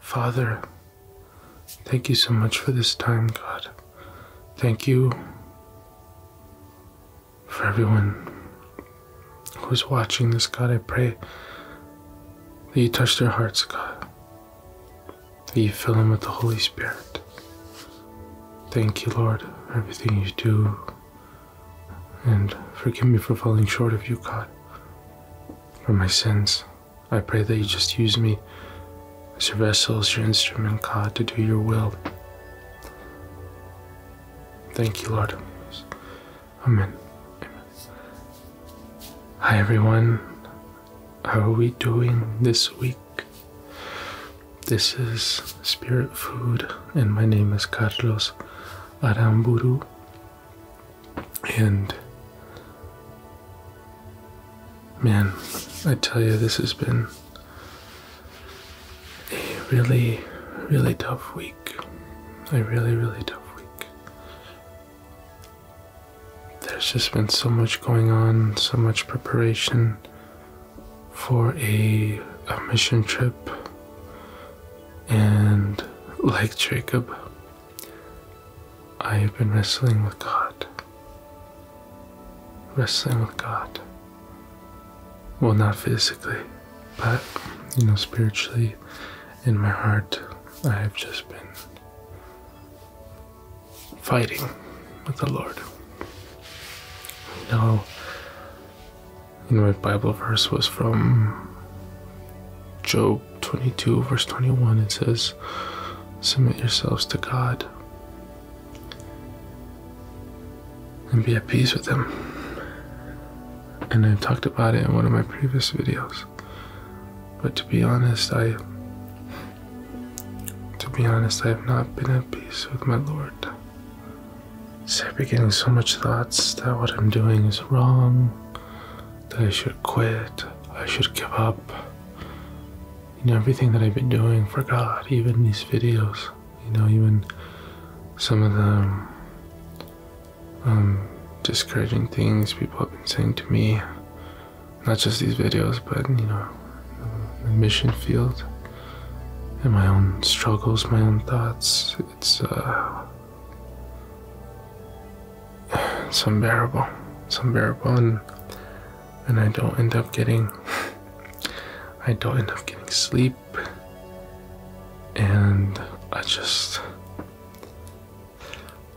Father, thank you so much for this time, God. Thank you for everyone who's watching this, God. I pray that you touch their hearts, God you fill him with the Holy Spirit. Thank you, Lord, everything you do. And forgive me for falling short of you, God, for my sins. I pray that you just use me as your vessel, as your instrument, God, to do your will. Thank you, Lord. Amen. Hi, everyone. How are we doing this week? This is Spirit Food, and my name is Carlos Aramburu. And man, I tell you, this has been a really, really tough week. A really, really tough week. There's just been so much going on, so much preparation for a, mission trip. And like Jacob, I have been wrestling with God. Wrestling with God. Well, not physically, but, you know, spiritually, in my heart, I have just been fighting with the Lord. Now, my Bible verse was from Job 22, verse 21. It says, Submit yourselves to God and be at peace with Him. And I have talked about it in one of my previous videos. But to be honest, I to be honest, I have not been at peace with my lord. I've been getting so much thoughts that what I'm doing is wrong, that I should quit, I should give up. You know, everything that I've been doing for God, even these videos, you know, even some of the um, discouraging things people have been saying to me, not just these videos, but you know, the mission field and my own struggles, my own thoughts. It's uh, it's unbearable. It's unbearable, and and I don't end up getting, I don't end up getting sleep, and I just,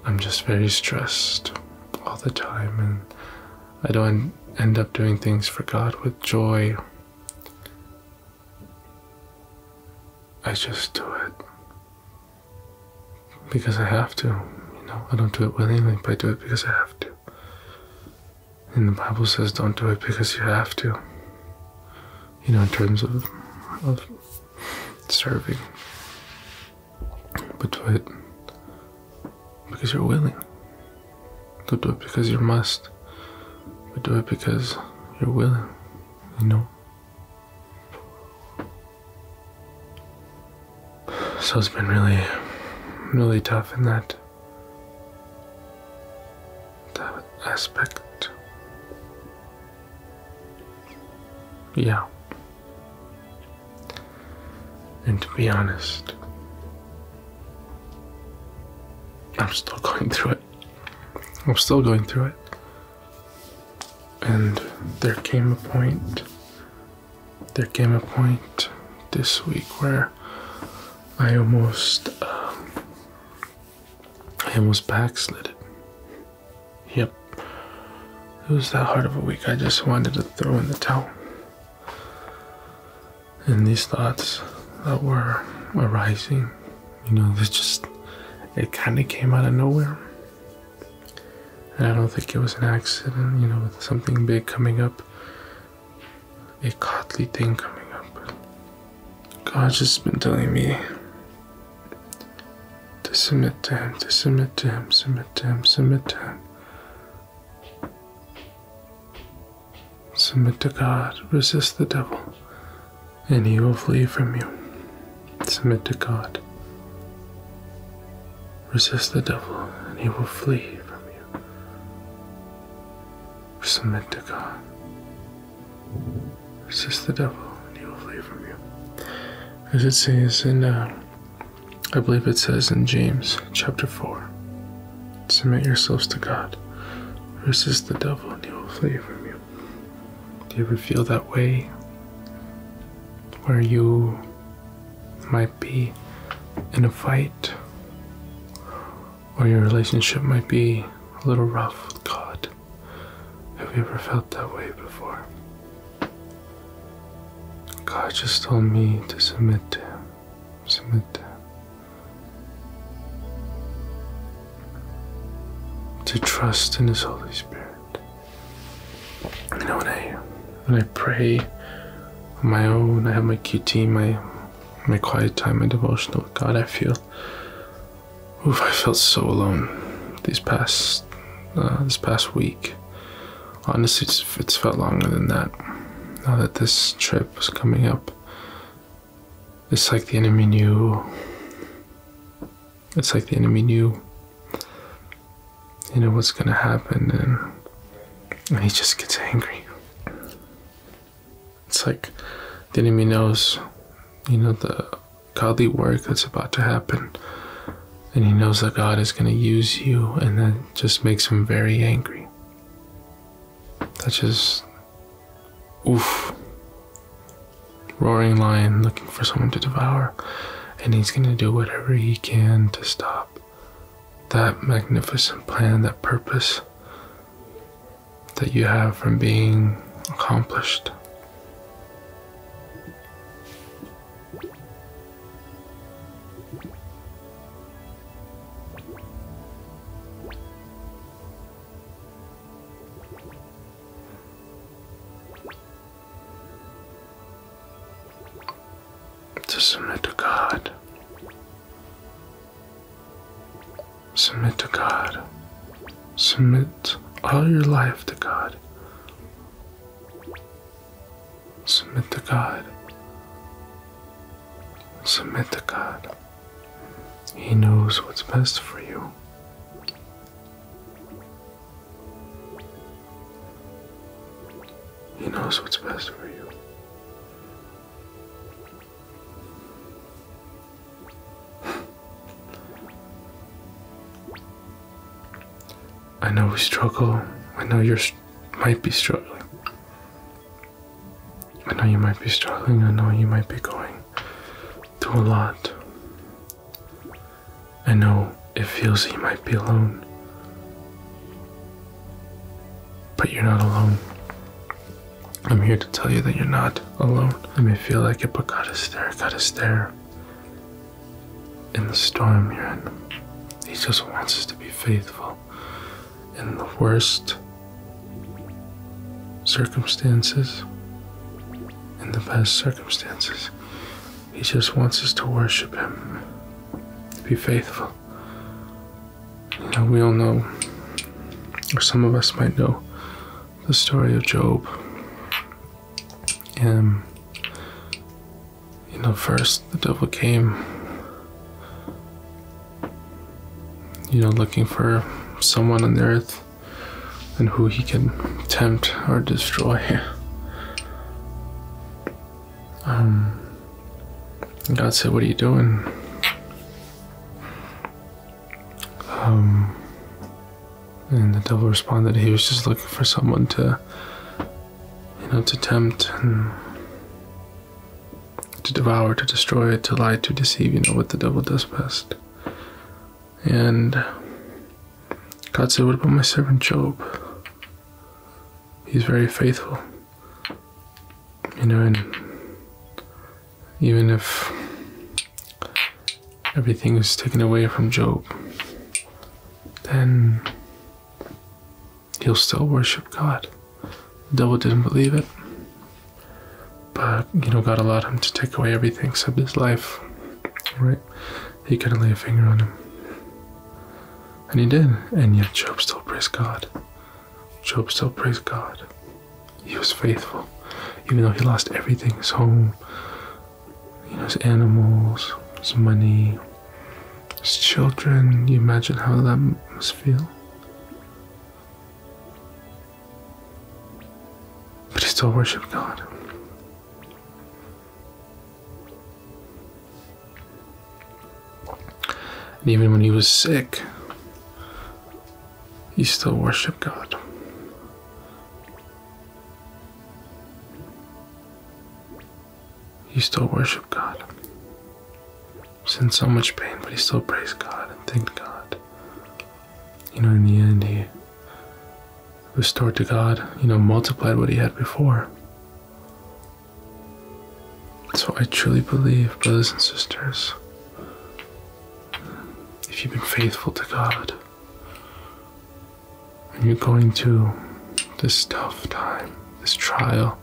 I'm just very stressed all the time, and I don't end up doing things for God with joy. I just do it because I have to. You know, I don't do it willingly, but I do it because I have to. And the Bible says, "Don't do it because you have to." You know, in terms of of serving. But what? Because you're willing. Don't do it because you must. But do it because you're willing, you know? So it's been really, really tough in that, that aspect. Yeah. And to be honest, I'm still going through it. I'm still going through it. And there came a point, there came a point this week where I almost, um, I almost backslid Yep. It was that hard of a week. I just wanted to throw in the towel. And these thoughts that were arising, you know, they just, it kind of came out of nowhere. And I don't think it was an accident, you know, with something big coming up, a godly thing coming up. God's just been telling me to submit to Him, to submit to Him, submit to Him, submit to Him. Submit to God, resist the devil, and he will flee from you. Submit to God. Resist the devil, and he will flee from you. Submit to God. Resist the devil, and he will flee from you. As it says in uh, I believe it says in James chapter 4 Submit yourselves to God, resist the devil, and he will flee from you. Do you ever feel that way? Where you might be in a fight, or your relationship might be a little rough with God. Have you ever felt that way before? God just told me to submit to Him. Submit to Him. To trust in His Holy Spirit. You know, when I when I pray on my own, I have my QT, my my quiet time, my devotional with God, I feel oof, I felt so alone these past uh, this past week. Honestly, it's, felt longer than that. Now that this trip was coming up, it's like the enemy knew. It's like the enemy knew. You know what's gonna happen, and, and he just gets angry. It's like the enemy knows, you know, the godly work that's about to happen and he knows that God is going to use you, and that just makes him very angry. That just, oof. Roaring lion looking for someone to devour, and he's going to do whatever he can to stop that magnificent plan, that purpose that you have from being accomplished. To submit to God. Submit to God. Submit all your life to God. Submit to God. Submit to God. He knows what's best for you. He knows what's best for you. I know we struggle. I know you might be struggling. I know you might be struggling. I know you might be going through a lot. I know it feels you might be alone. But you're not alone. I'm here to tell you that you're not alone. It may feel like it, but God is there. God is there in the storm you're in. He just wants us to be faithful in the worst circumstances, in the best circumstances. He just wants us to worship Him, to be faithful. Now we all know, or some of us might know, the story of Job. And you know, first the devil came, you know, looking for someone on the earth and who he can tempt or destroy. Um, God said, What are you doing? Um, and the devil responded, He was just looking for someone to you in its attempt to devour, to destroy, to lie, to deceive, you know what the devil does best. And God said, What about my servant Job? He's very faithful. You know, and even if everything is taken away from Job, then he'll still worship God. The devil didn't believe it. But, you know, God allowed him to take away everything except his life, right? He couldn't lay a finger on him. And he did. And yet Job still praised God. Job still praised God. He was faithful. Even though he lost everything his home, you know, it's animals, it's money, it's children. You imagine how that must feel. But he still worshipped God. And even when he was sick, he still worshiped God. He still worshipped God. He's so much pain, but he still praised God and thanked God. You know, in the end, he restored to God, you know, multiplied what he had before. So I truly believe, brothers and sisters, if you've been faithful to God, when you're going through this tough time, this trial,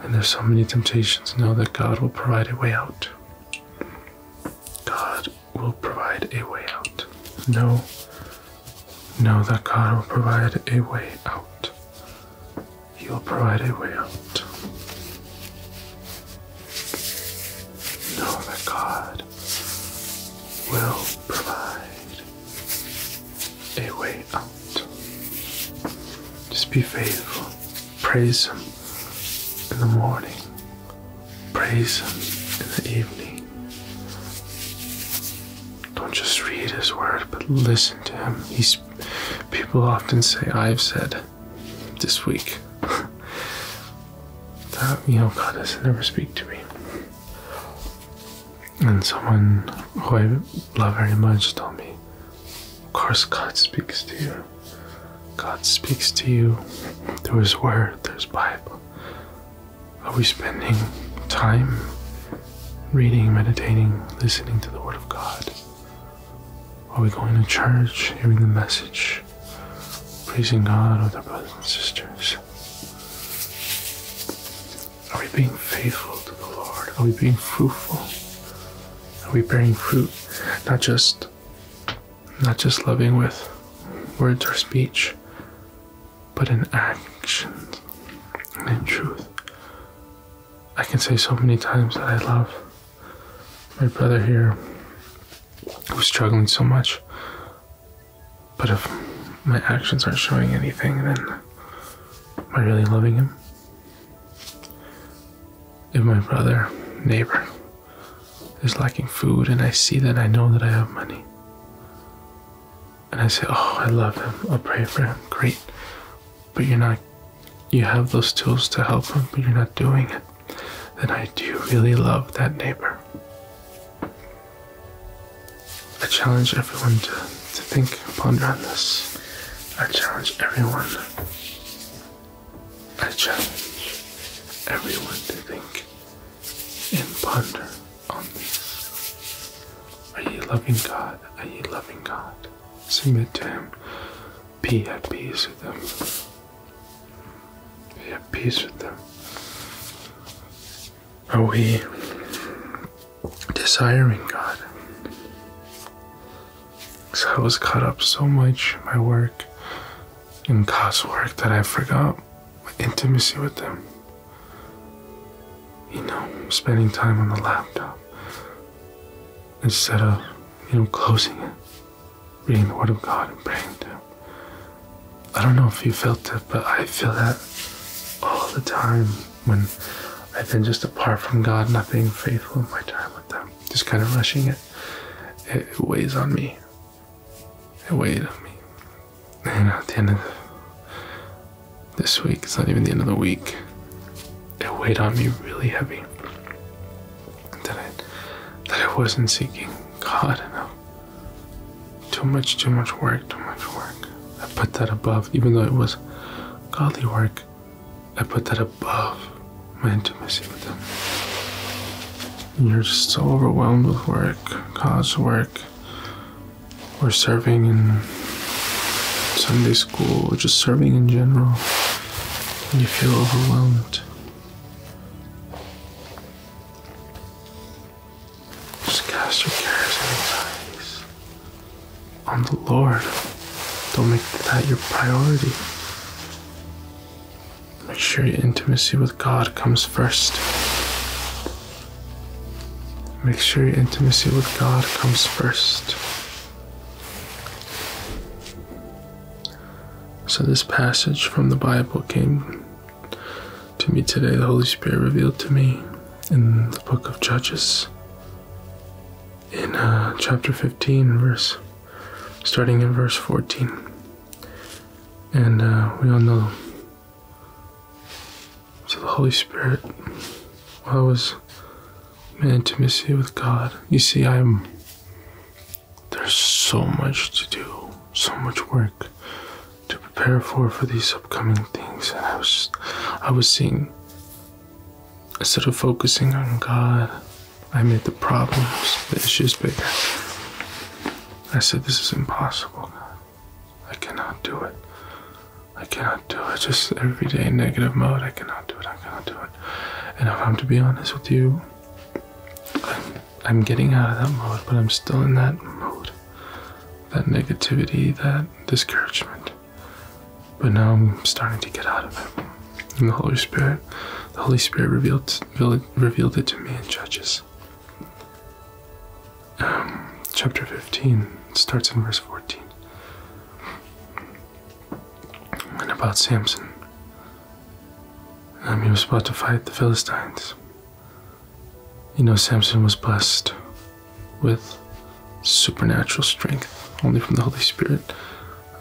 and there's so many temptations, know that God will provide a way out. God will provide a way out. Know, know that God will provide a way out. He will provide a way out. Know that God will provide a way out. Just be faithful. Praise Him in the morning, praise Him in the evening. Don't just read His word, but listen to Him. He's, people often say, I've said this week. that, you know, God doesn't ever speak to me. And someone who I love very much told me, Of course, God speaks to you. God speaks to you through His Word, through His Bible. Are we spending time reading, meditating, listening to the Word of God? Are we going to church, hearing the message, praising God with our brothers and sisters? Are we being faithful to the Lord? Are we being fruitful? Are we bearing fruit? Not just not just loving with words or speech, but in actions and in truth. I can say so many times that I love my brother here who's struggling so much but if my actions aren't showing anything, then am I really loving him? If my brother, neighbor, is lacking food and I see that I know that I have money, and I say, Oh, I love him, I'll pray for him, great. But you're not, you have those tools to help him, but you're not doing it, then I do really love that neighbor. I challenge everyone to, to think and ponder on this. I challenge everyone. I challenge everyone to think and ponder on this. Are you loving God? Are you loving God? Submit to Him. Be at peace with Him. Be at peace with Him. Are we desiring God? Because I was caught up so much my work and God's work that I forgot my intimacy with Him. You know, spending time on the laptop instead of, you know, closing it, reading the Word of God and praying to Him. I don't know if you felt it, but I feel that all the time when I've been just apart from God, not being faithful in my time with them, just kind of rushing it. It, weighs on me. It weighed on me. And at the end of this week, it's not even the end of the week, it weighed on me really heavy that I, that I wasn't seeking God enough. Too much, too much work, too much work. I put that above, even though it was godly work, I put that above my intimacy with them. you're just so overwhelmed with work, college work, or serving in Sunday school, or just serving in general, and you feel overwhelmed. Just cast your cares and anxieties on the Lord. Don't make that your priority. Make sure your intimacy with God comes first. Make sure your intimacy with God comes first. So, this passage from the Bible came to me today, the Holy Spirit revealed to me in the book of Judges, in uh, chapter 15, verse, starting in verse 14. And uh, we all know. So the Holy Spirit, I was in intimacy with God, you see, I'm. There's so much to do, so much work to prepare for for these upcoming things, and I was I was seeing instead of focusing on God, I made the problems, the issues bigger. I said, "This is impossible, I cannot do it. I cannot do it. Just every day negative mode. I cannot do it. I cannot do it." And if I'm to be honest with you, I'm getting out of that mode, but I'm still in that mode. That negativity, that discouragement. But now I'm starting to get out of it. And the Holy Spirit, the Holy Spirit revealed revealed it to me in Judges. Um, chapter 15 starts in verse 14. And about Samson. Um, he was about to fight the Philistines. You know, Samson was blessed with supernatural strength, only from the Holy Spirit,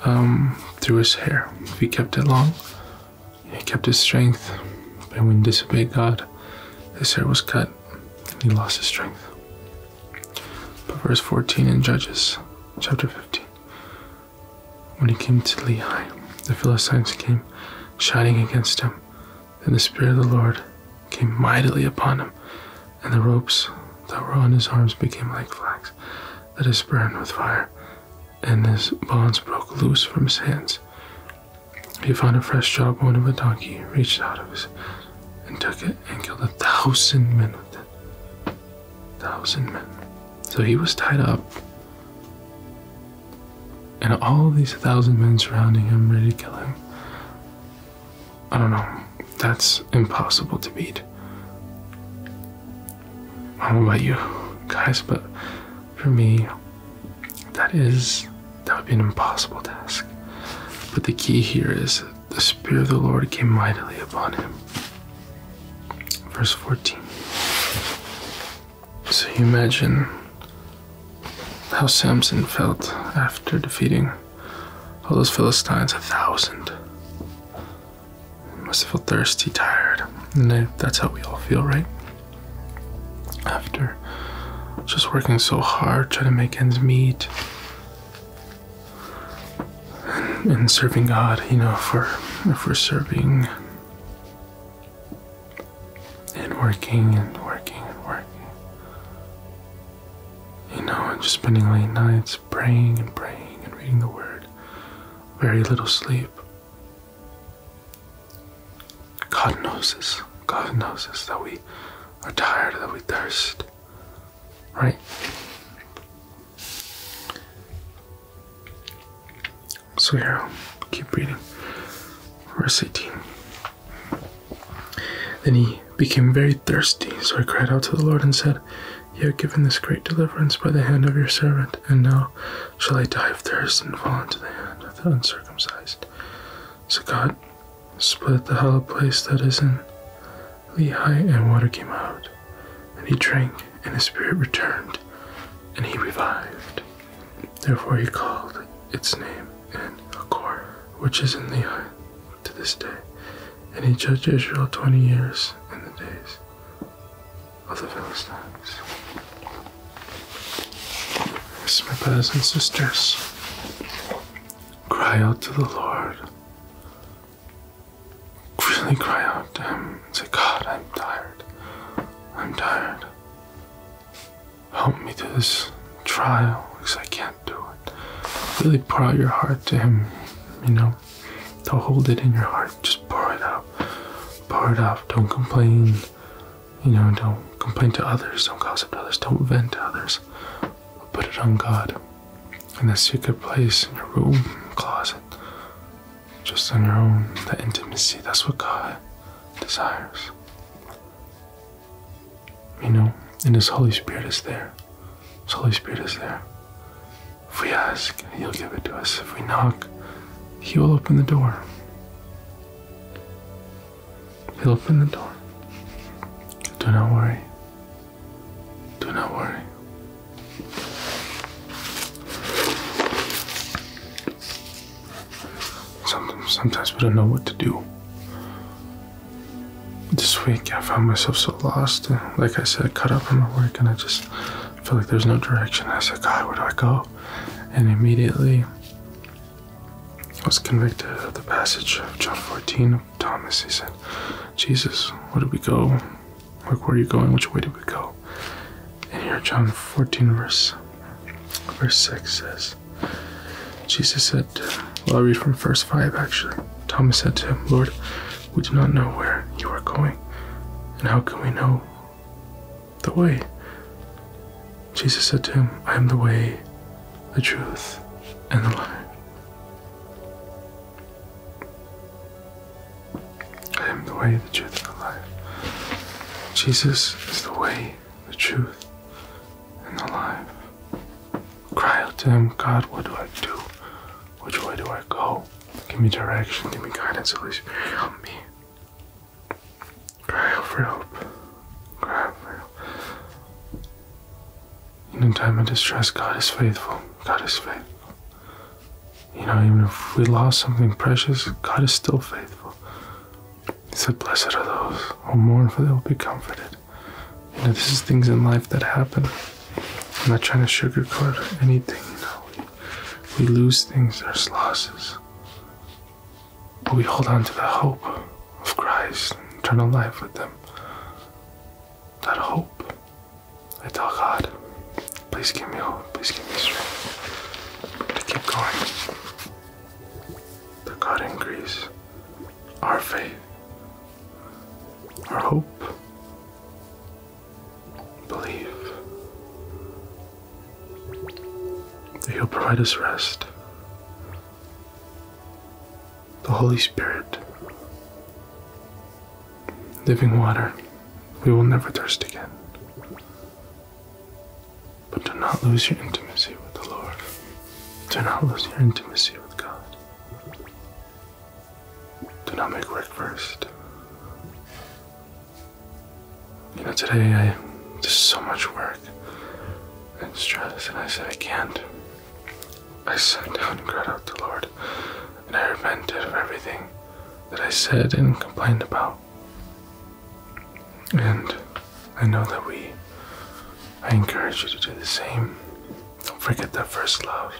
um, through his hair. If he kept it long, he kept his strength. But when he disobeyed God, his hair was cut and he lost his strength. But verse 14 in Judges chapter 15 when he came to Lehi, the Philistines came shouting against him and the Spirit of the Lord came mightily upon him, and the ropes that were on his arms became like flax that is burned with fire, and his bonds broke loose from his hands. He found a fresh jawbone of a donkey, reached out of his and took it, and killed a thousand men with it. A thousand men. So he was tied up and all these thousand men surrounding him, ready to kill him. I don't know. That's impossible to beat. I don't know about you guys, but for me, that is that would be an impossible task. But the key here is the Spirit of the Lord came mightily upon him. Verse 14. So you imagine how Samson felt after defeating all those Philistines, a thousand. must have felt thirsty, tired. And that's how we all feel, right? After just working so hard, trying to make ends meet, and, serving God, you know, for if we're serving and working and working and working. You know, and just spending late nights praying and praying and reading the Word. Very little sleep. God knows us. God knows us that we are tired, that we thirst. Right? So here, I'll keep reading. Verse 18. Then he became very thirsty, so I cried out to the Lord and said, You have given this great deliverance by the hand of your servant, and now shall I die of thirst and fall into the hand of the uncircumcised. So God split the hollow place that is in Lehi, and water came out, and he drank, and his spirit returned, and he revived. Therefore he called its name En Akor, which is in the Lehi to this day. And he judged Israel twenty years in the days of the Philistines. Yes, my brothers and sisters, cry out to the Lord. Really cry out to Him and say, God, I'm tired. I'm tired help me through this trial because I can't do it. Really pour out your heart to Him, you know. To hold it in your heart, just pour it out. Pour it out. Don't complain, you know, don't complain to others, don't gossip to others, don't vent to others. Put it on God in a secret place in your room, closet, just on your own, that intimacy. That's what God desires. You know, and His Holy Spirit is there. His Holy Spirit is there. If we ask, He'll give it to us. If we knock, He will open the door. He'll open the door. Do not worry. Do not worry. Sometimes, we don't know what to do. This week I found myself so lost. Like I said, cut up in my work, and I just feel like there's no direction. I said, God, where do I go? And immediately I was convicted of the passage of John 14 of Thomas. He said, Jesus, where do we go? Like, where are you going? Which way do we go? And here, John 14, verse Verse 6 says, Jesus said, well, i read from verse 5 actually. Thomas said to him, Lord, we do not know where you are going, and how can we know the way? Jesus said to him, I am the way, the truth, and the life. I am the way, the truth, and the life. Jesus is the way, the truth, and the life. Cry out to him, God, what do I do? Which way do I go? Give me direction, give me guidance, at least help me. Cry out for help. Cry out for help. Even in time of distress, God is faithful. God is faithful. You know, even if we lost something precious, God is still faithful. He said, Blessed are those who mourn, for they will be comforted. You know, this is things in life that happen. I'm not trying to sugarcoat anything, you know. We, lose things, there's losses. But we hold on to the hope of Christ and eternal life with them. That hope. I tell God, please give me hope, please give me strength to keep going. The God in increase our faith, our hope, belief, that He'll provide us rest. The Holy Spirit, living water, we will never thirst again. But do not lose your intimacy with the Lord. Do not lose your intimacy with God. Do not make work first. You know, today I did so much work and stress, and I said I can't. I sat down and cried out to the Lord, and I repented of everything that I said and complained about. And I know that we, I encourage you to do the same. Don't forget that first love.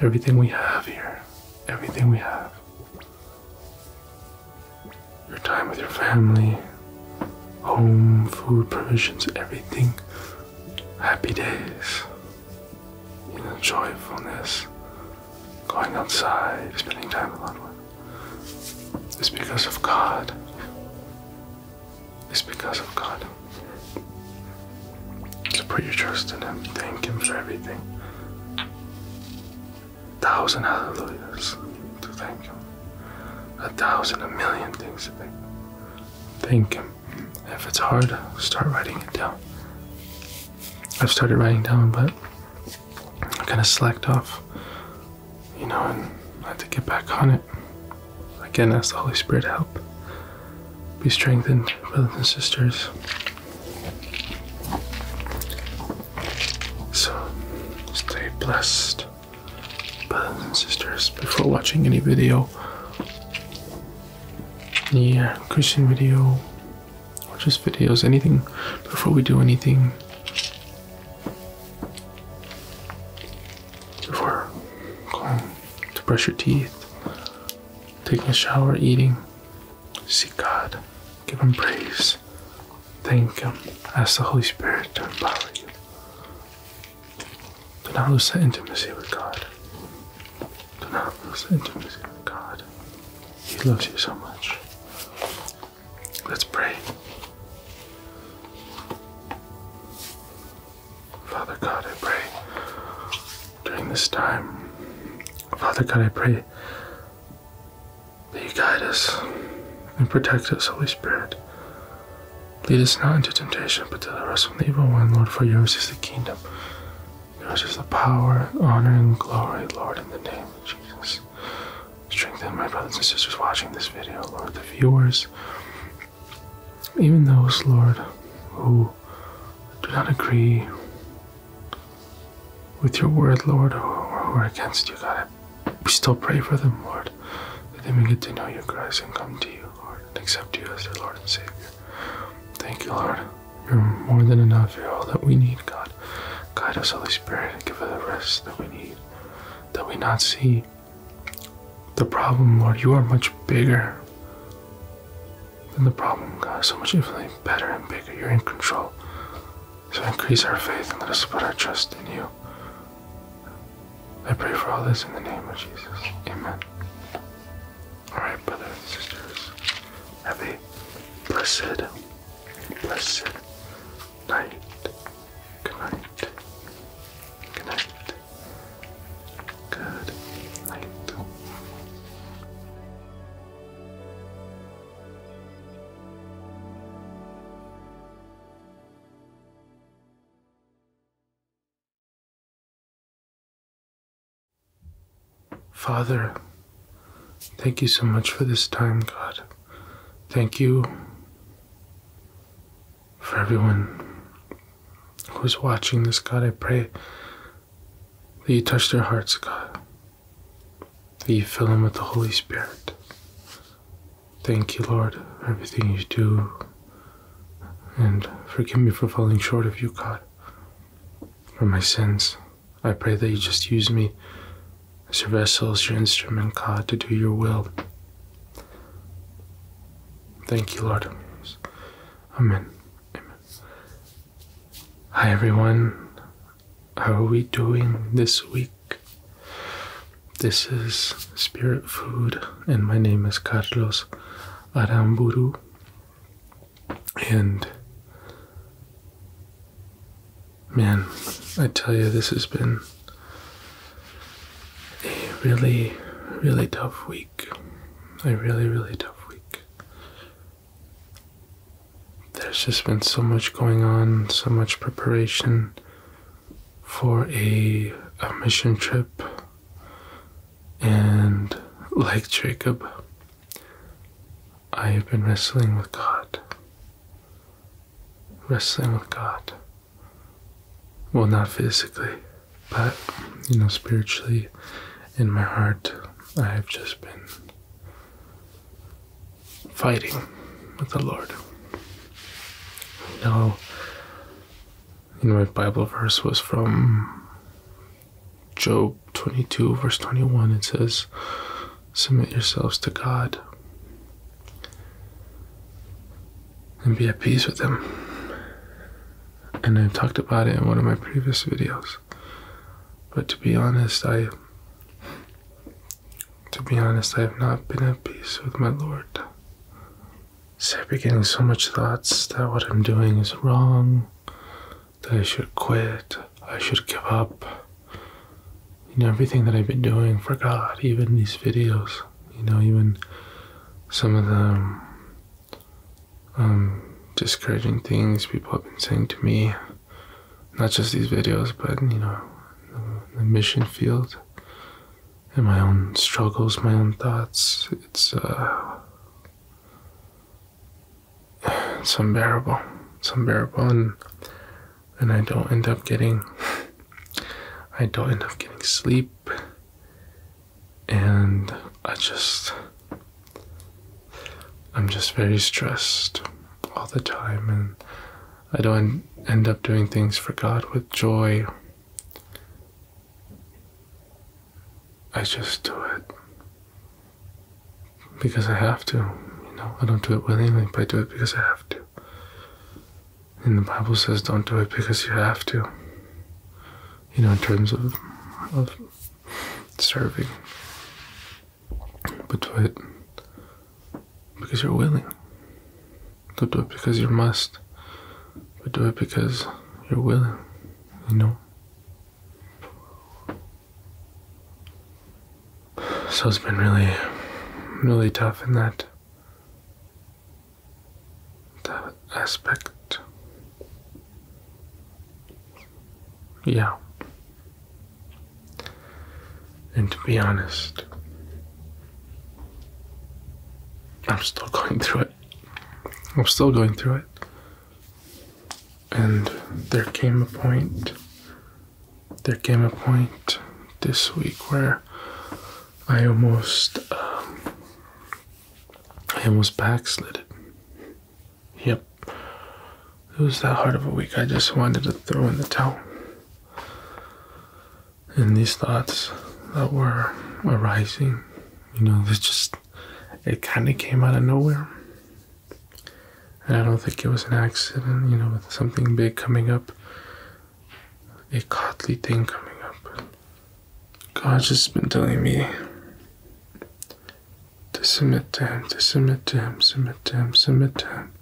Everything we have here, everything we have. Your time with your family, home, food, provisions, everything. Happy days, you know, joyfulness, going outside, spending time alone It's because of God. It's because of God. So put your trust in Him. Thank Him for everything. thousand hallelujahs to thank Him. A thousand, a million things to thank Thank Him. If it's hard, start writing it down. I've started writing down, but I kind of slacked off, you know, and had to get back on it. Again, ask the Holy Spirit to help. Be strengthened, brothers and sisters. So, stay blessed, brothers and sisters. Before watching any video, any yeah, Christian video, or just videos, anything before we do anything. Before going to brush your teeth, taking a shower, eating, see God, give Him praise, thank Him, ask the Holy Spirit to empower you. Do not lose that intimacy with God. Do not lose that intimacy with God. He loves you so much. Let's pray. Father God, I pray during this time. Father God, I pray that you guide us and protect us, Holy Spirit. Lead us not into temptation, but deliver us from the evil one, Lord, for yours is the kingdom. Yours is the power, and honor, and glory, Lord, in the name of Jesus strengthen my brothers and sisters watching this video, Lord, the viewers, even those, Lord, who do not agree with your word, Lord, or who are against you, God. We still pray for them, Lord, that they may get to know you, Christ, and come to you, Lord, and accept you as their Lord and Savior. Thank you, Lord. You're more than enough. You're all that we need, God. Guide us, Holy Spirit, and give us the rest that we need, that we not see the problem, Lord. You are much bigger than the problem, God. So much infinitely better and bigger. You're in control. So increase our faith and let us put our trust in you. I pray for all this in the name of Jesus. Amen. Alright, brothers and sisters, have a blessed Blessed night. Good night. Good night. Good night. Father. Thank you so much for this time, God. Thank you for everyone who's watching this, God. I pray that you touch their hearts, God. That you fill them with the Holy Spirit. Thank you, Lord, for everything you do. And forgive me for falling short of you, God, for my sins. I pray that you just use me as your vessel, as your instrument, God, to do your will. Thank you, Lord. Amen. Amen. Hi, everyone. How are we doing this week? This is Spirit Food, and my name is Carlos Aramburu. And Man, I tell you, this has been a really, really tough week. A really, really tough week. There's just been so much going on, so much preparation for a, a mission trip. And like Jacob, I have been wrestling with God. Wrestling with God. Well, not physically, but, you know, spiritually, in my heart, I have just been fighting with the Lord. Now, know, my Bible verse was from Job 22, verse 21. It says, submit yourselves to God and be at peace with Him. And I've talked about it in one of my previous videos. But to be honest, I to be honest, I have not been at peace with my Lord. I've been getting so much thoughts that what I'm doing is wrong, that I should quit, I should give up. You know, everything that I've been doing for God, even these videos, you know, even some of the um, discouraging things people have been saying to me, not just these videos, but, you know, the, mission field and my own struggles, my own thoughts. It's, uh, it's unbearable. It's unbearable, and and I don't end up getting. I don't end up getting sleep, and I just. I'm just very stressed all the time, and I don't end up doing things for God with joy. I just do it because I have to. You know, I don't do it willingly, but I do it because I have to. And the Bible says, "Don't do it because you have to." You know, in terms of of serving, but do it because you're willing. Don't do it because you must, but do it because you're willing. You know. So it's been really, really tough in that, that aspect. Yeah. And to be honest, I'm still going through it. I'm still going through it. And there came a point there came a point this week where I almost, um, I almost backslid Yep, it was that hard of a week. I just wanted to throw in the towel. And these thoughts that were arising, you know, it just, it kind of came out of nowhere. And I don't think it was an accident, you know, with something big coming up, a godly thing coming up. God just been telling me to submit to Him, to submit to Him, submit to Him, submit to Him.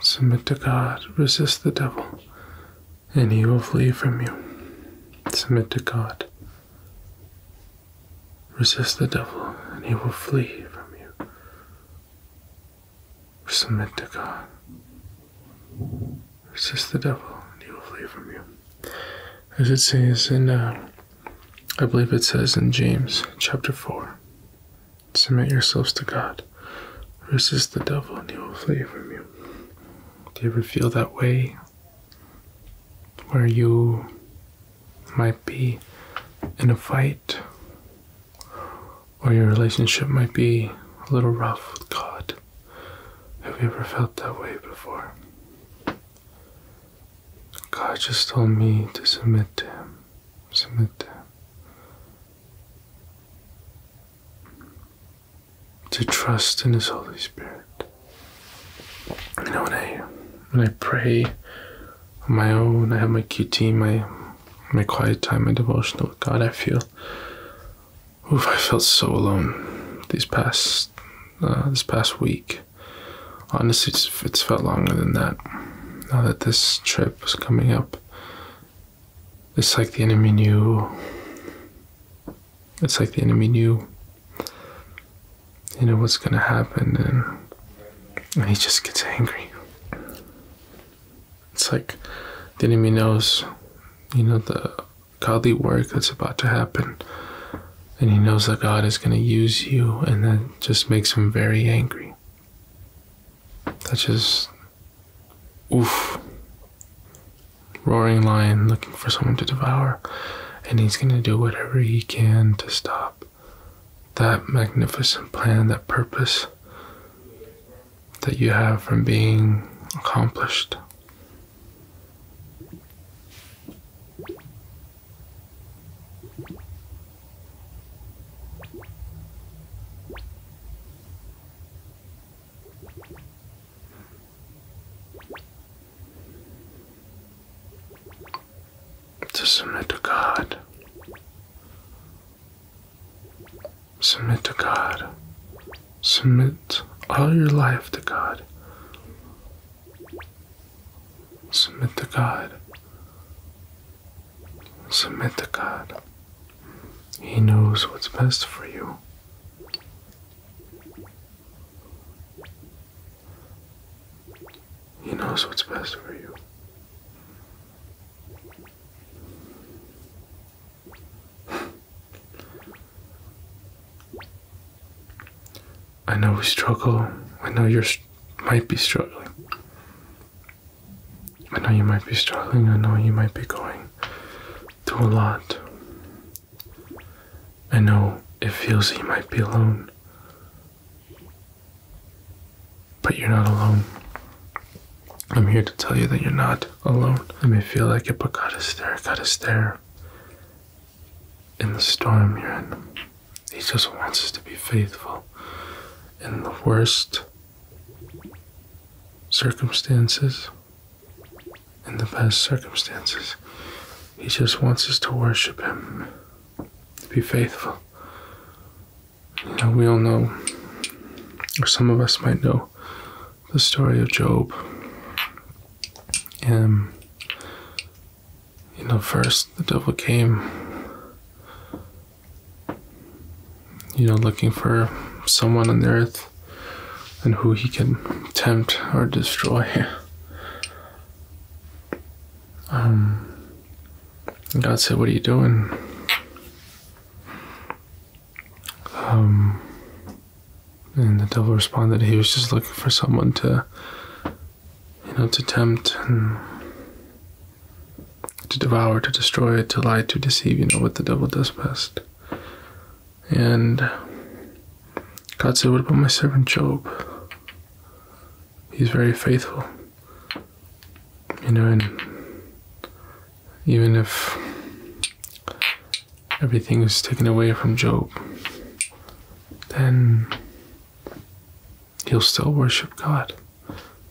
Submit to God, resist the devil, and he will flee from you. Submit to God. Resist the devil, and he will flee from you. Submit to God. Resist the devil, and he will flee from you. As it says in, uh, I believe it says in James chapter 4 Submit yourselves to God. Resist the devil, and he will flee from you. Do you ever feel that way? Where you might be in a fight, or your relationship might be a little rough with God. Have you ever felt that way before? God just told me to submit to Him. Submit to Him. To trust in His Holy Spirit you know when I when I pray on my own, I have my QT, my my quiet time, my devotion with God, I feel oof, I felt so alone these past uh, this past week. Honestly, it's, it's felt longer than that. Now that this trip was coming up, it's like the enemy knew it's like the enemy knew, you know, what's going to happen, and he just gets angry. It's like the enemy knows, you know, the godly work that's about to happen, and he knows that God is going to use you, and that just makes him very angry. That just, oof, roaring lion looking for someone to devour and he's going to do whatever he can to stop that magnificent plan, that purpose that you have from being accomplished. To submit to God. Submit to God. Submit all your life to God. Submit to God. Submit to God. He knows what's best for you. He knows what's best for you. I know we struggle. I know you might be struggling. I know you might be struggling. I know you might be going through a lot. I know it feels that you might be alone, but you're not alone. I'm here to tell you that you're not alone. It may feel like it, but God is there. God is there. In the storm you're in, He just wants us to be faithful. In the worst circumstances, in the best circumstances. He just wants us to worship Him, to be faithful. You we all know, or some of us might know, the story of Job. Um, you know, first the devil came, you know, looking for someone on the earth and who he can tempt or destroy. Um, God said, What are you doing? Um, and the devil responded, He was just looking for someone to, you know, to tempt and to devour, to destroy, to lie, to deceive, you know, what the devil does best. And God said, What about my servant Job? He's very faithful. You know, and even if everything is taken away from Job, then he'll still worship God.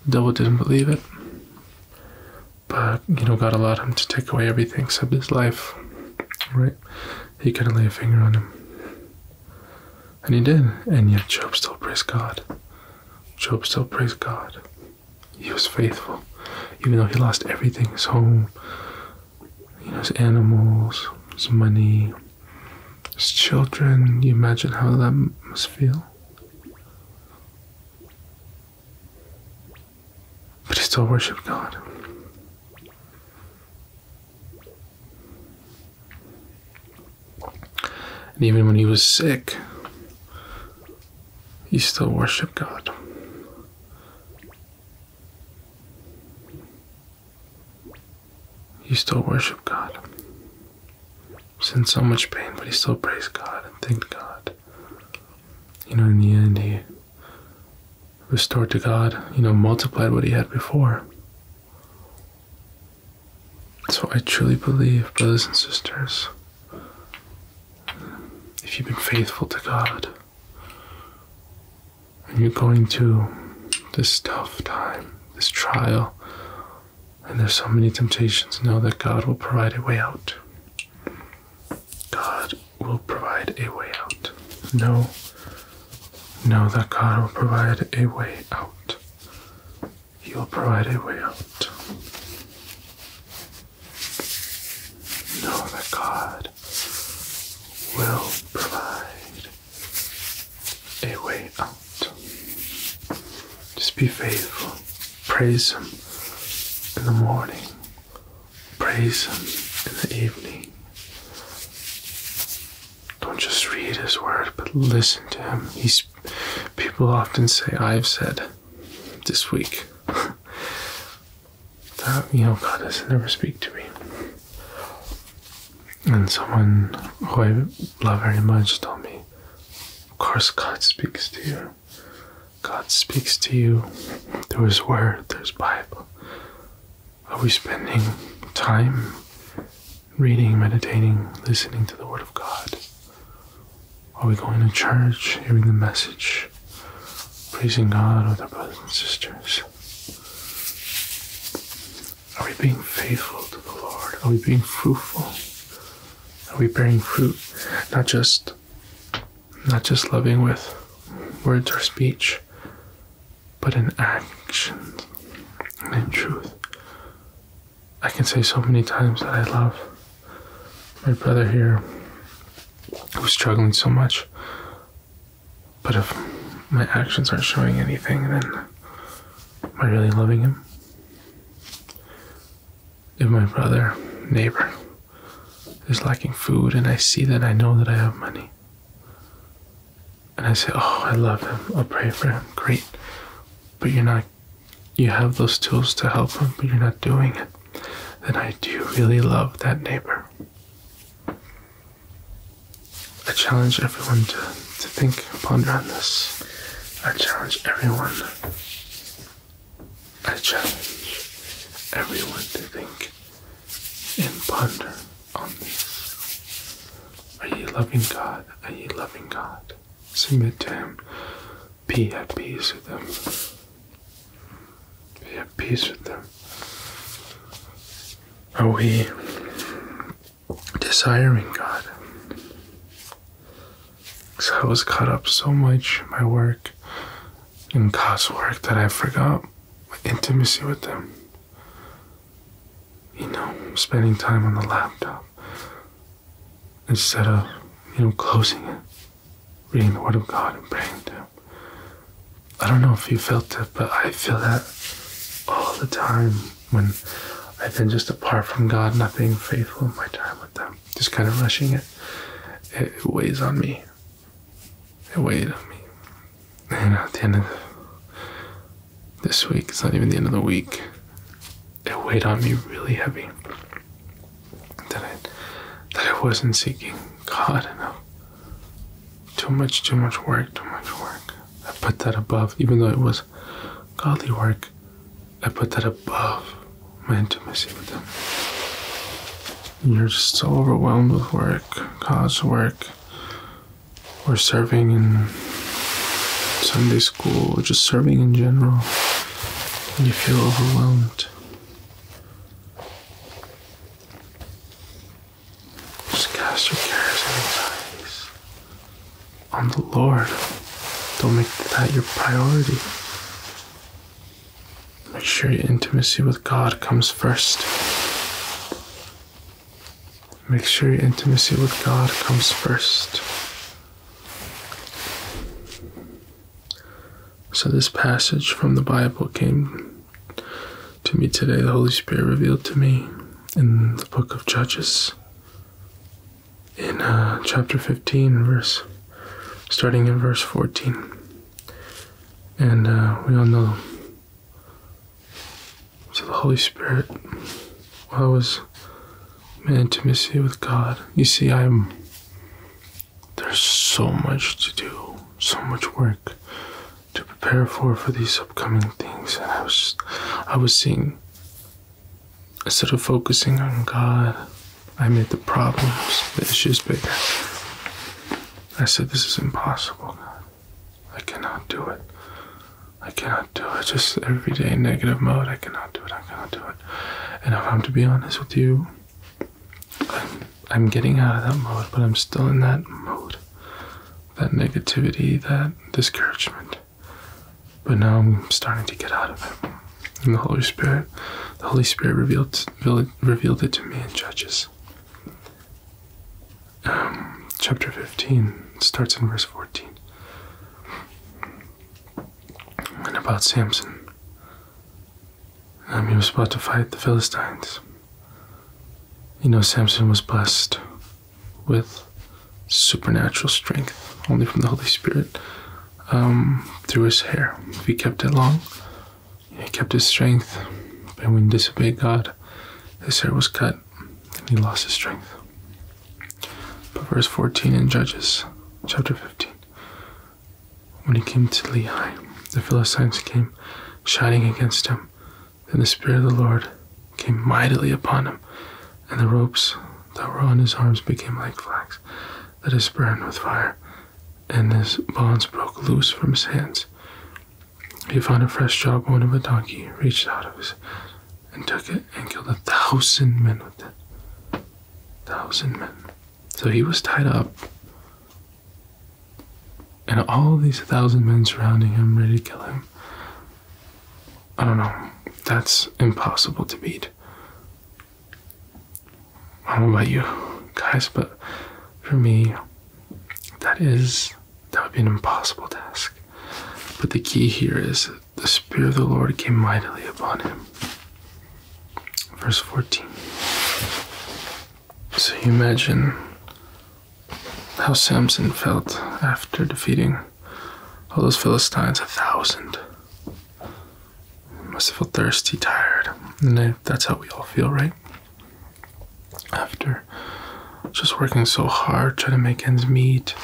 The devil didn't believe it. But, you know, God allowed him to take away everything except his life, right? he couldn't lay a finger on him. And he did, and yet Job still praised God. Job still praised God. He was faithful, even though he lost everything his home, his animals, his money, his children. You imagine how that must feel? But he still worshiped God. And even when he was sick, he still worshiped God. He still worshiped God. He in so much pain, but he still praised God and thanked God. You know, in the end, he restored to God, you know, multiplied what he had before. So I truly believe, brothers and sisters, if you've been faithful to God and you're going to this tough time, this trial, and there's so many temptations, know that God will provide a way out. God will provide a way out. No, no, that God will provide a way out. He will provide a way out. Know that God will provide a way out. Just be faithful. Praise Him in the morning praise Him in the evening. Don't just read His word, but listen to Him. He's, people often say, I've said this week that, you know, God doesn't ever speak to me. And someone who I love very much told me, Of course, God speaks to you. God speaks to you through His Word, through His Bible. Are we spending time reading, meditating, listening to the Word of God? Are we going to church, hearing the message, praising God with our brothers and sisters? Are we being faithful to the Lord? Are we being fruitful? Are we bearing fruit? Not just not just loving with words or speech, but in actions and in truth. I can say so many times that I love my brother here who's struggling so much. But if my actions aren't showing anything, then am I really loving him? If my brother, neighbor, is lacking food and I see that I know that I have money, and I say, Oh, I love him. I'll pray for him. Great. But you're not, you have those tools to help him, but you're not doing it. Then I do really love that neighbor. I challenge everyone to, to think, ponder on this. I challenge everyone. I challenge everyone to think and ponder on this. Are ye loving God? Are ye loving God? Submit to Him. Be at peace with them. Be at peace with them. Are we desiring God? Because I was caught up so much in my work, and God's work, that I forgot about intimacy with them. You know, spending time on the laptop instead of, you know, closing it, reading the Word of God and praying to Him. I don't know if you felt it, but I feel that all the time when I've been just apart from God, not being faithful in my time with them, just kind of rushing it. It weighs on me. It weighed on me. And at the end of this week, it's not even the end of the week, it weighed on me really heavy. That I, that I wasn't seeking God enough. Too much, too much work, too much work. I put that above, even though it was godly work, I put that above my intimacy with Him. You're just so overwhelmed with work, God's work, or serving in Sunday school or just serving in general, and you feel overwhelmed. Just cast your cares and anxieties on the Lord. Don't make that your priority. Make sure your intimacy with God comes first. Make sure your intimacy with God comes first. So, this passage from the Bible came to me today. The Holy Spirit revealed to me in the book of Judges, in uh, chapter 15, verse, starting in verse 14. And uh, we all know to the Holy Spirit while I was in intimacy with God. You see, I'm there's so much to do, so much work to prepare for for these upcoming things, and I was I was seeing instead of focusing on God, I made the problems, the issues bigger. I said, This is impossible, I cannot do it. I cannot do it. Just every day negative mode. I cannot do it. I cannot do it. And if I'm to be honest with you, I'm, I'm getting out of that mode, but I'm still in that mode. That negativity, that discouragement. But now I'm starting to get out of it. And the Holy Spirit, the Holy Spirit revealed, revealed it to me in Judges. Um, chapter 15 starts in verse 14. And about Samson, um, he was about to fight the Philistines. You know, Samson was blessed with supernatural strength, only from the Holy Spirit, um, through his hair. he kept it long, he kept his strength, but when he disobeyed God, his hair was cut, and he lost his strength. But verse 14 in Judges chapter 15 When he came to Lehi, the Philistines came shouting against him. and the Spirit of the Lord came mightily upon him, and the ropes that were on his arms became like flax that is burned with fire, and his bonds broke loose from his hands. He found a fresh jawbone of a donkey, reached out of his and took it and killed a thousand men with it. Thousand men. So he was tied up. And all these thousand men surrounding him, ready to kill him. I don't know. That's impossible to beat. I don't know about you guys, but for me, that is, that would be an impossible task. But the key here is the Spirit of the Lord came mightily upon him. Verse 14. So you imagine how Samson felt after defeating all those Philistines, a thousand. must have felt thirsty, tired. And that's how we all feel, right? after just working so hard trying to make ends meet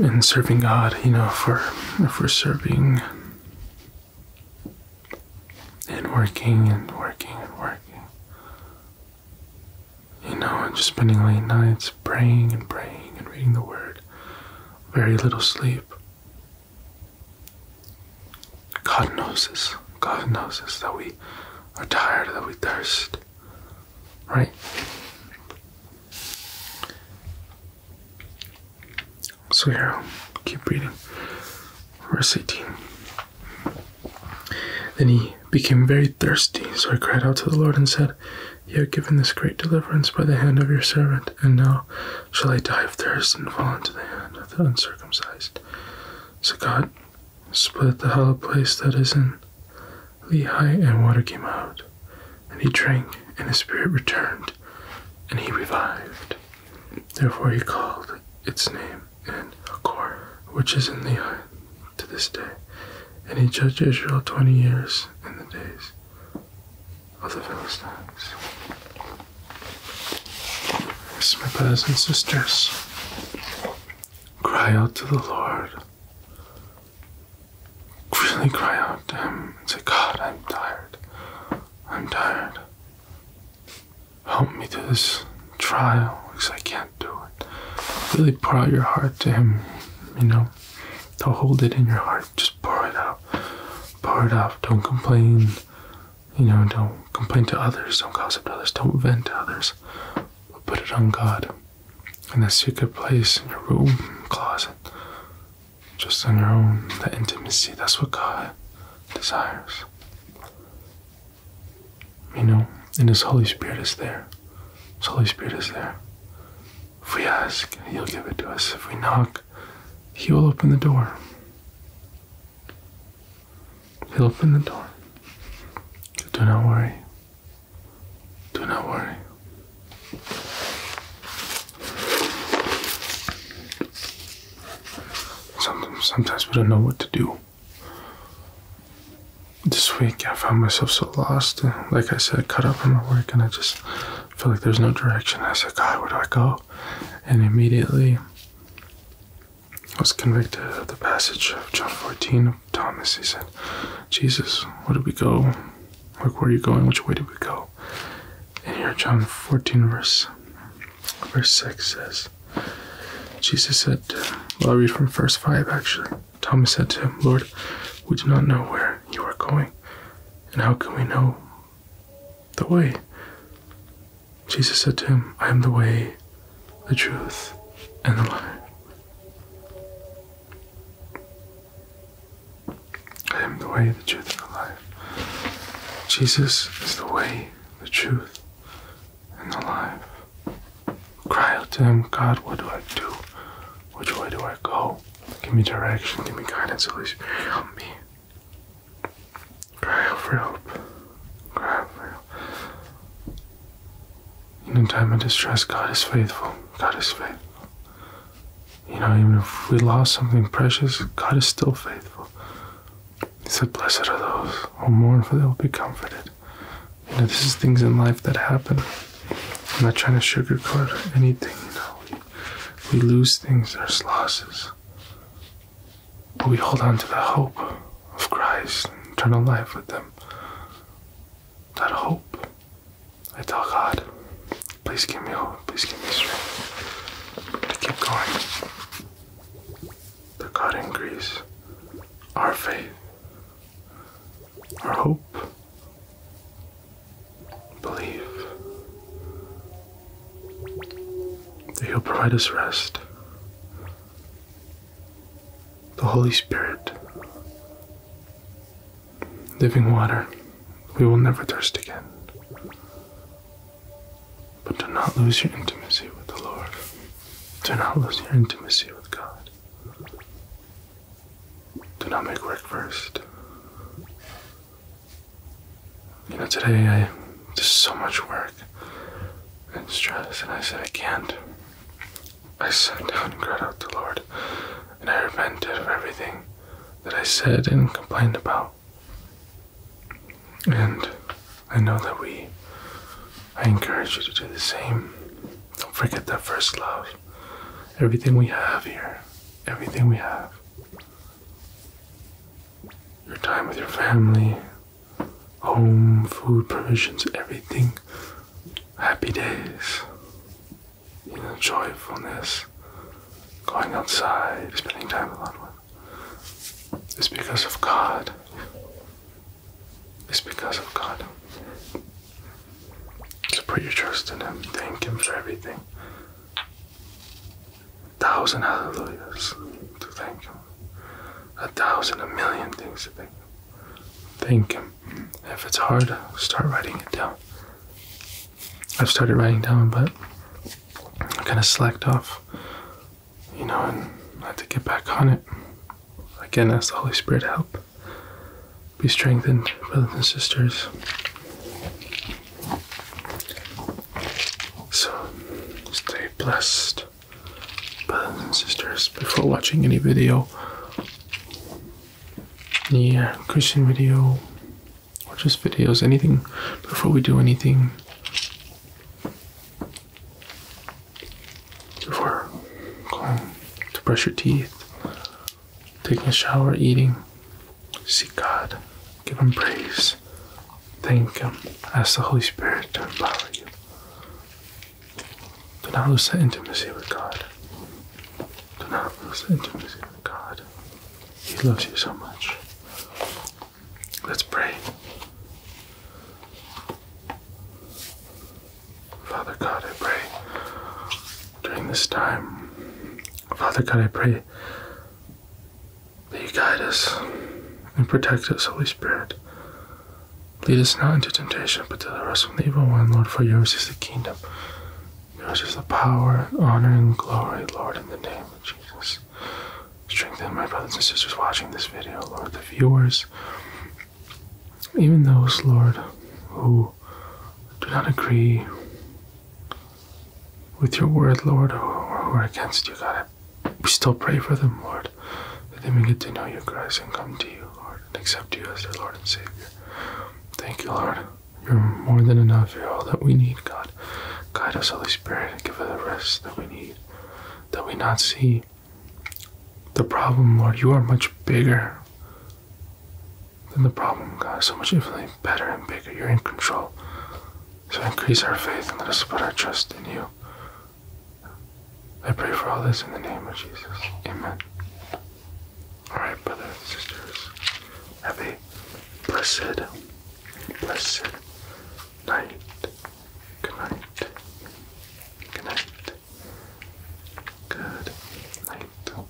and serving God, you know, for if serving and working and working and working, you know, just spending late nights praying and praying and reading the Word, very little sleep. God knows us. God knows us that we are tired, that we thirst. Right? So here, will keep reading. Verse 18. Then he became very thirsty, so he cried out to the Lord and said, You have given this great deliverance by the hand of your servant, and now shall I die of thirst and fall into the hand uncircumcised. So God split the hollow place that is in Lehi, and water came out. And he drank, and his spirit returned, and he revived. Therefore he called its name and Akor, which is in Lehi, to this day. And he judged Israel twenty years in the days other fellow Philistines. my brothers and sisters, cry out to the Lord. Really cry out to Him and say, God, I'm tired. I'm tired. Help me through this trial because I can't do it. Really pour out your heart to Him, you know. Don't hold it in your heart. Just pour it out. Pour it out. Don't complain. You know, don't complain to others, don't gossip to others, don't vent to others, but put it on God in that secret place in your room, closet, just on your own. That intimacy, that's what God desires. You know, and His Holy Spirit is there. His Holy Spirit is there. If we ask, He'll give it to us. If we knock, he will open the door. He'll open the door. Do not worry. Do not worry. Sometimes, we don't know what to do. This week I found myself so lost, like I said, cut up in my work, and I just I feel like there's no direction. I said, God, where do I go? And immediately I was convicted of the passage of John 14 of Thomas. He said, Jesus, where do we go? Like, where are you going? Which way do we go? And here, John 14, verse, verse 6 says, Jesus said, well, i read from verse 5 actually. Thomas said to him, Lord, we do not know where you are going, and how can we know the way. Jesus said to him, I am the way, the truth, and the life. I am the way, the truth, and the life. Jesus is the way, the truth, and the life. Cry out to him, God, what do I do? Which way do I go? Give me direction, give me guidance, at help me. Cry out for help. Cry out In a time of distress, God is faithful. God is faithful. You know, even if we lost something precious, God is still faithful. He said, Blessed are those who mourn, for they will be comforted. You know, this is things in life that happen. I'm not trying to sugarcoat anything, we lose things, there's losses. But we hold on to the hope of Christ and eternal life with them. That hope, I tell God, please give me hope, please give me strength. I keep going. That God increase our faith, our hope, believe, that He'll provide us rest. The Holy Spirit, living water, we will never thirst again. But do not lose your intimacy with the Lord. Do not lose your intimacy with God. Do not make work first. You know, today I did so much work and stress, and I said I can't. I sat down and cried out to the Lord, and I repented of everything that I said and complained about. And I know that we, I encourage you to do the same. Don't forget that first love. Everything we have here, everything we have, your time with your family, home, food, provisions, everything. Happy days, you joyfulness, going outside, spending time with loved one. It's because of God. It's because of God. So put your trust in Him. Thank Him for everything. A thousand hallelujahs to thank Him, a thousand, a million things to thank Him. Thank Him. if it's hard, start writing it down. I've started writing down, but I kind of slacked off, you know, and I have to get back on it. Again, ask the Holy Spirit to help. Be strengthened, brothers and sisters. So stay blessed, brothers and sisters. Before watching any video, yeah, uh, Christian video or just videos, anything, before we do anything, before going to brush your teeth, taking a shower, eating. Seek God, give Him praise, thank Him, ask the Holy Spirit to empower you. Do not lose that intimacy with God. Do not lose that intimacy with God. He loves you so much. Let's pray. Father God, I pray during this time Father God, I pray that you guide us and protect us, Holy Spirit. Lead us not into temptation, but deliver us from the evil one, Lord, for yours is the kingdom. Yours is the power, honor, and glory, Lord, in the name of Jesus. Strengthen my brothers and sisters watching this video, Lord, the viewers, even those, Lord, who do not agree with your word, Lord, who, are against you, God. We still pray for them, Lord, that they may get to know you, Christ, and come to you, Lord, and accept you as their Lord and Savior. Thank you, Lord. You're more than enough. You're all that we need, God. Guide us, Holy Spirit, give us the rest that we need, that we not see the problem, Lord. You are much bigger than the problem, God. So much infinitely better and bigger. You're in control. So increase our faith and let us put our trust in you. I pray for all this in the name of Jesus. Amen. Alright, brothers sisters, have a blessed, blessed night. Good night. Good night. Good night.